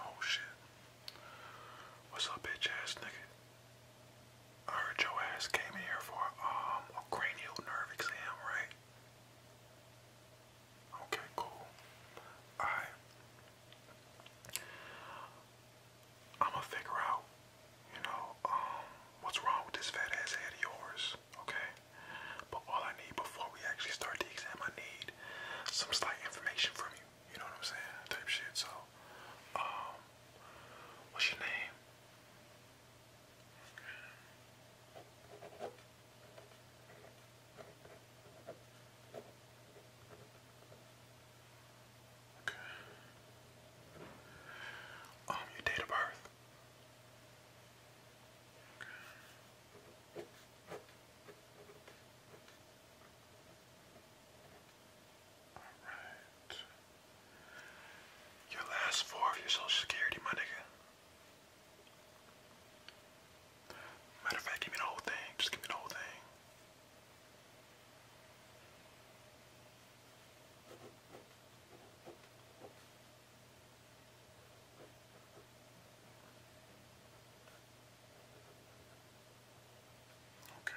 Oh shit. What's up, bitch ass nigga? I heard your ass came in here for um a cranial nerve exam, right? Okay, cool. Alright. I'ma figure out, you know, um, what's wrong with this fat ass head of yours okay? But all I need before we actually start the exam, I need some slight information from you. You know what I'm saying? Type shit. So, um, what's your name? Okay. Um, your date of birth. Alright. Your last four of your social security, my nigga. Matter of fact, give me the whole thing. Just give me the whole thing. Okay.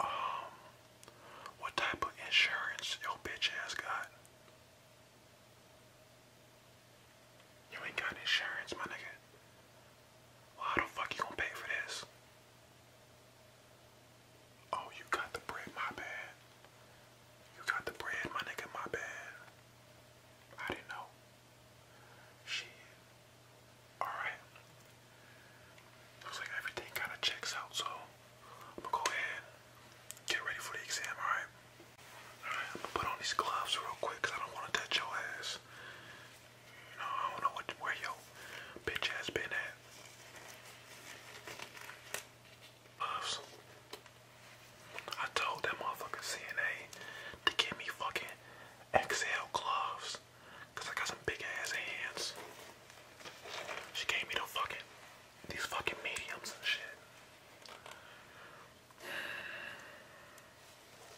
um, what type of insurance your bitch ass got? You ain't got insurance, my nigga. how the fuck you gonna pay for this? Oh, you got the bread, my bad. You got the bread, my nigga, my bad. I didn't know. Shit. Alright. Looks like everything kind of checks out, so I'm gonna go ahead get ready for the exam, alright? Alright, I'm gonna put on these gloves real quick because I don't want to touch your ass. You know, I don't know where your bitch ass been at. I told that motherfucking CNA to get me fucking XL gloves. I got some big ass hands. She gave me the fucking these fucking mediums and shit.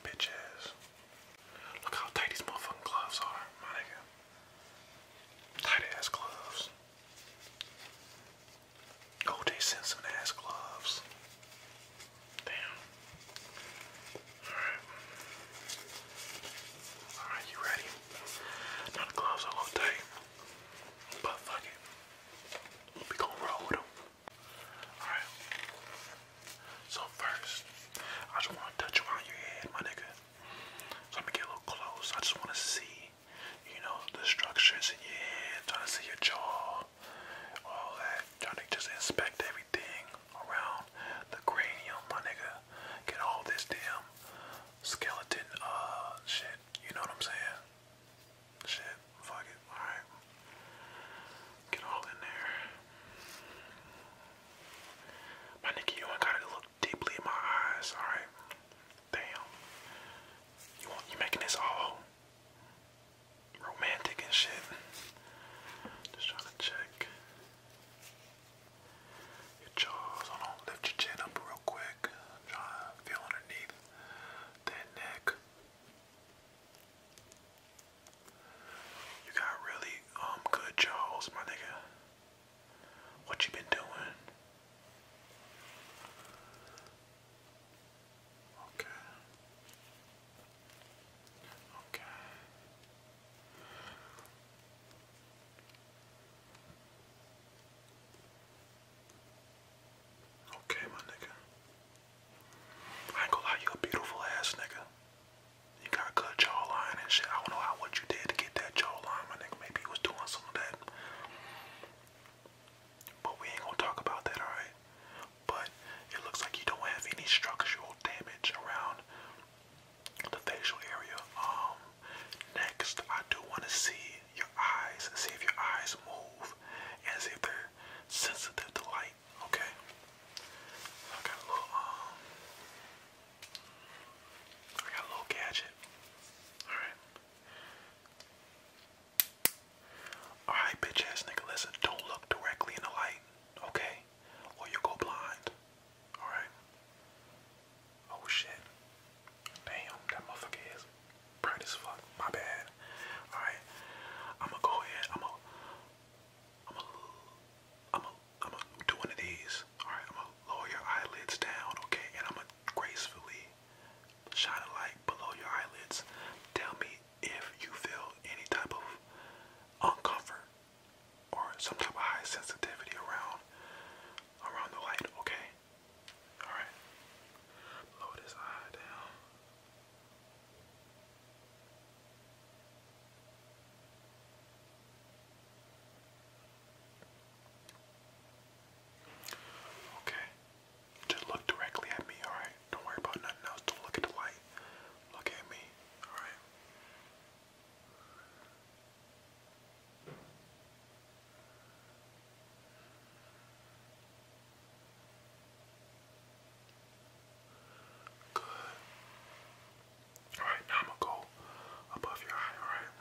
Bitch Look how tight these motherfucking gloves are, my Tight ass gloves. Oh, sent some ass gloves. Damn. Alright. Alright, you ready? Now the gloves a little tight. But fuck it. We gonna roll them. Alright. So first, I just wanna touch around your head, my nigga. So I'm gonna get a little close. I just wanna see, you know, the structures in your head, trying to see your jaw, all that, trying to just inspect everything around the cranium, my nigga. Get all this damn skeleton uh shit. You know what I'm saying? Shit, fuck it. Alright. Get all in there. My nigga, you ain't gotta deeply in my eyes, alright? Damn. You making this all romantic and shit. Just trying to check. Your jaws, hold on, lift your chin up real quick. Try to feel underneath that neck. You got really um good jaws, my nigga. What you been doing? Okay. Okay. Okay, my nigga. ain't gonna lie, you a beautiful ass nigga. You got cut jawline and shit. I don't know how what you did to get that jawline, my nigga. Maybe he was doing some of that. But we ain't gonna talk about that, alright? But it looks like you don't have any structural damage around the facial area. Um next I do wanna see your eyes, see if your eyes move and see if they're sensitive to light, okay? I got a little um I got a little gadget. Alright. Alright, bitch listen, don't look directly in the light, okay? Or you go blind. Alright? Oh shit. Damn, that motherfucker is bright as fuck. My bad. Alright. I'ma go ahead. I'ma I'ma I'm gonna do one of these. Alright, I'm gonna lower your eyelids down, okay? And I'm gonna gracefully shine a light below your eyelids. Tell me if you feel any type of uncomfort or some type of high sensitivity around around the light, okay? Alright. Lower this eye down. Okay. Just look directly at me, alright? Don't worry about nothing else. Don't look at the light. Look at me, alright? Good. Alright, now I'm gonna go above your eye, alright?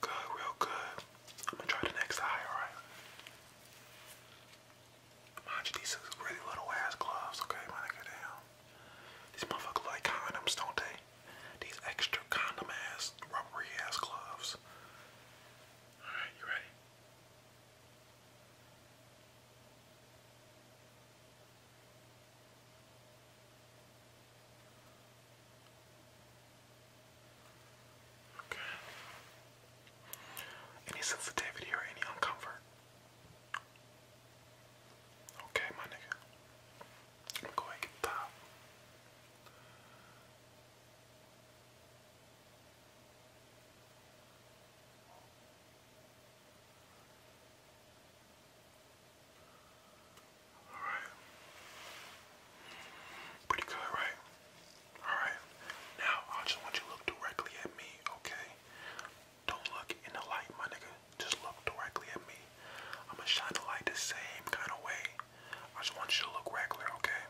Good, real good. I'm gonna try the next eye, alright? Mind you, these really little ass gloves, okay? When get down. These motherfuckers like condoms, don't they? These extra condom ass, rubbery ass gloves. Alright, you ready? Okay. Any sensitivity or any discomfort? Okay, my nigga. I'm going to get Alright. Pretty good, right? Alright. Now I just want you to look directly at me, okay? Don't look in the light, my nigga. Just look directly at me. I'ma shine the light the same kind of way. I just want you to look regular, okay?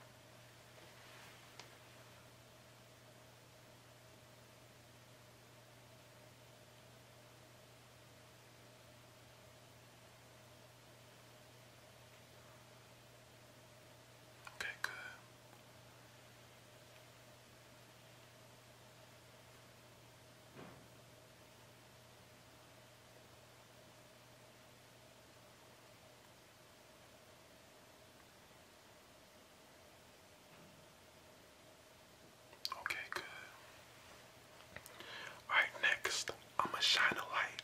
Okay, good. Okay, good. Alright, next, I'm gonna shine a light,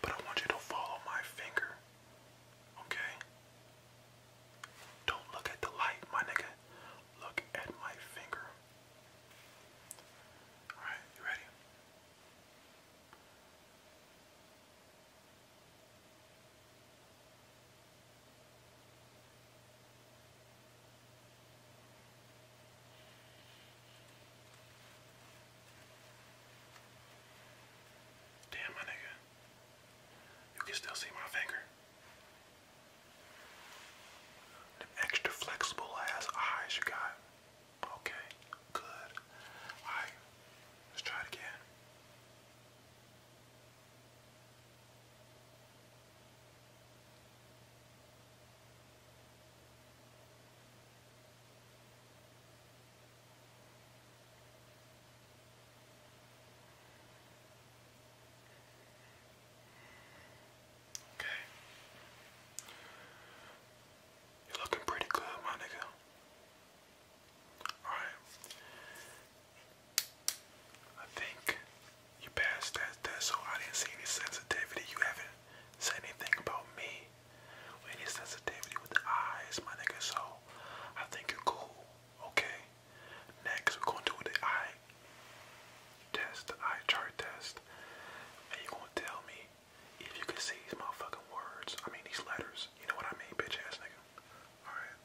but I want you to follow my finger. Okay? Don't look at the light, my nigga. Look at my finger. Alright, you ready? Damn, my nigga. You can still see my finger. The extra flexible ass eyes you got. Okay, good. Alright, let's try it again. Okay. You're looking pretty good, my nigga. Alright. I think you passed that test, so I didn't see any sensitivity. You haven't said anything about me. any sensitivity with the eyes, my nigga, so I think you're cool. Okay. Next, we going to do the eye test, eye chart test. And you going to tell me if you can see these motherfucking words. I mean, these letters. You know what I mean, bitch ass nigga. Alright.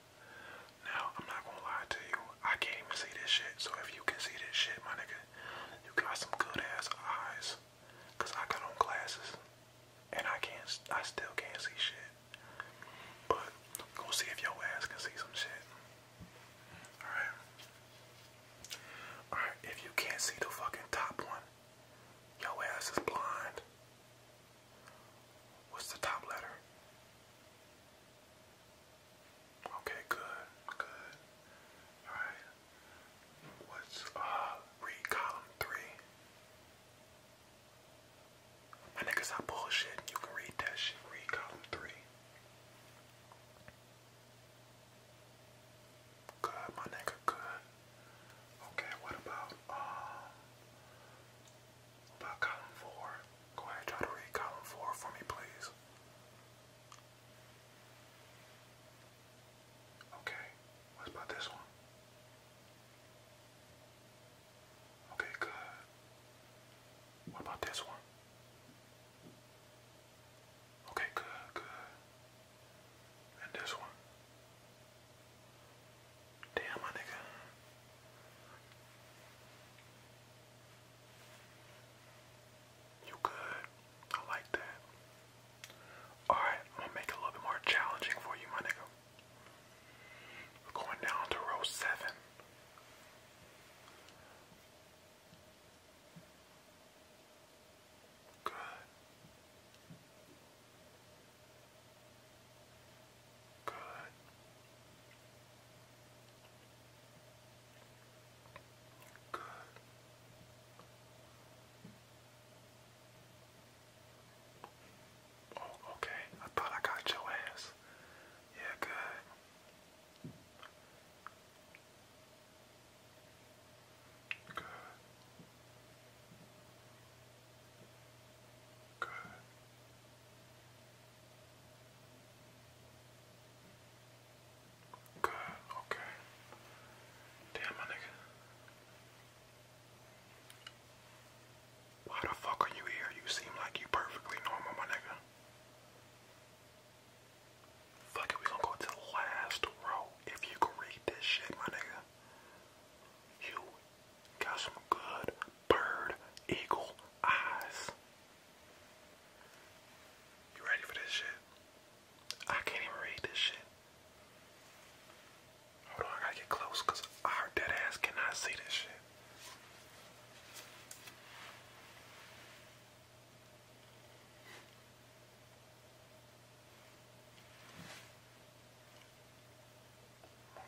Now, I'm not going to lie to you. I can't even see this shit. So if you can see this shit, my nigga, you got some good ass eyes. Because I got on glasses and I can't, I still can't see shit. But go see if your ass can see some shit. All right. All right. If you can't see the fucking top one, your ass is blind. What's the top letter? Okay, good, good. All right. What's uh? Read column three. My niggas are bullshit. You can read that shit. Read column three. Good, my nigga. Good. Okay, what about um? about column four? Go ahead, try to read column four for me, please. Okay, what about this one? Okay, good. What about this one? Okay, good, good. And this one. Damn, my nigga. You good. I like that. Alright, I'm gonna make it a little bit more challenging for you, my nigga. We're going down to row seven. Good. Good. Good. Oh, okay. I thought I got your ass. Yeah, good. Good. Good. Good, okay. Damn, my why the fuck are you here? You seem like you perfectly normal, my nigga. Fuck it, we gonna go to last row. If you can read this shit, my nigga. You got some good bird eagle eyes. You ready for this shit? I can't even read this shit. Hold on, I gotta get close because our dead ass cannot see this shit.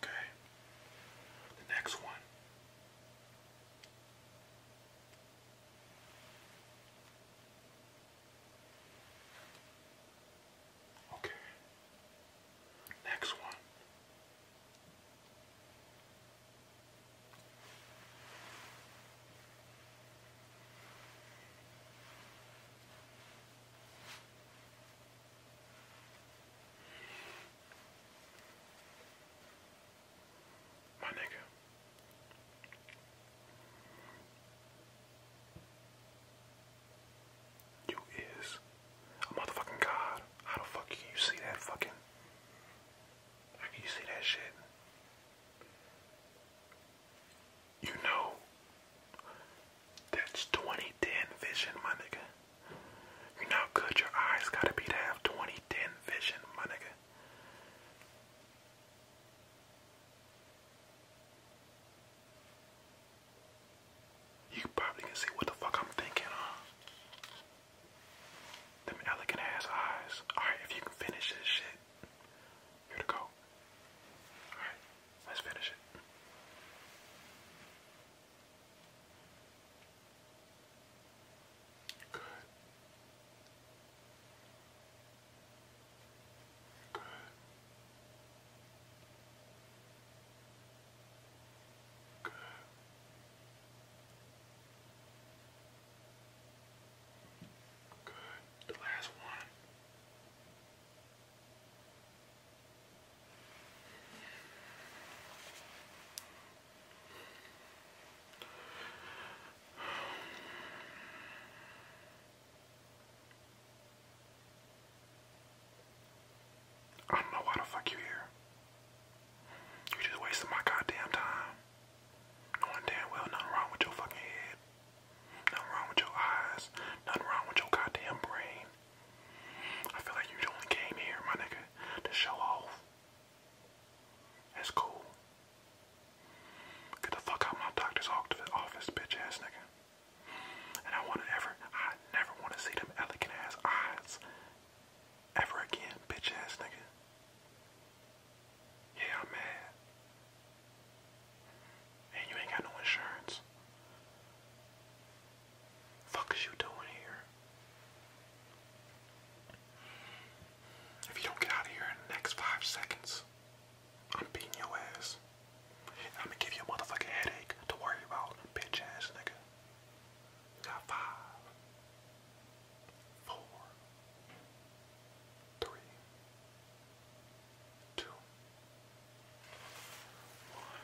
Okay. The next one. Okay. Next one. My nigga. You is a motherfucking god. How the fuck you see that fucking? How can you see that shit? You know, that's 2010 vision, my nigga. You know how good your eyes gotta be to have 2010 vision, my nigga. You probably can see what the fuck I'm thinking, huh? Them elegant ass eyes. Alright, if you can finish this shit, here to go. Alright, let's finish it. Good. Good. Good. Good. The last one. I don't know why the fuck you here. You just wasting my goddamn time. Knowing damn well nothing wrong with your fucking head. Nothing wrong with your eyes. Nothing wrong with your goddamn brain. I feel like you only came here, my nigga, to show off. That's cool. Get the fuck out of my doctor's office, bitch ass nigga. And I want to ever, I never want to see them elegant ass eyes ever again, bitch ass nigga. Yeah, I'm mad. And you ain't got no insurance. Fuck is you doing here? If you don't get out of here in the next five seconds, I'm beating your ass. I'm gonna give you a motherfucking headache to worry about, bitch ass nigga. You got five, four, three, two, one.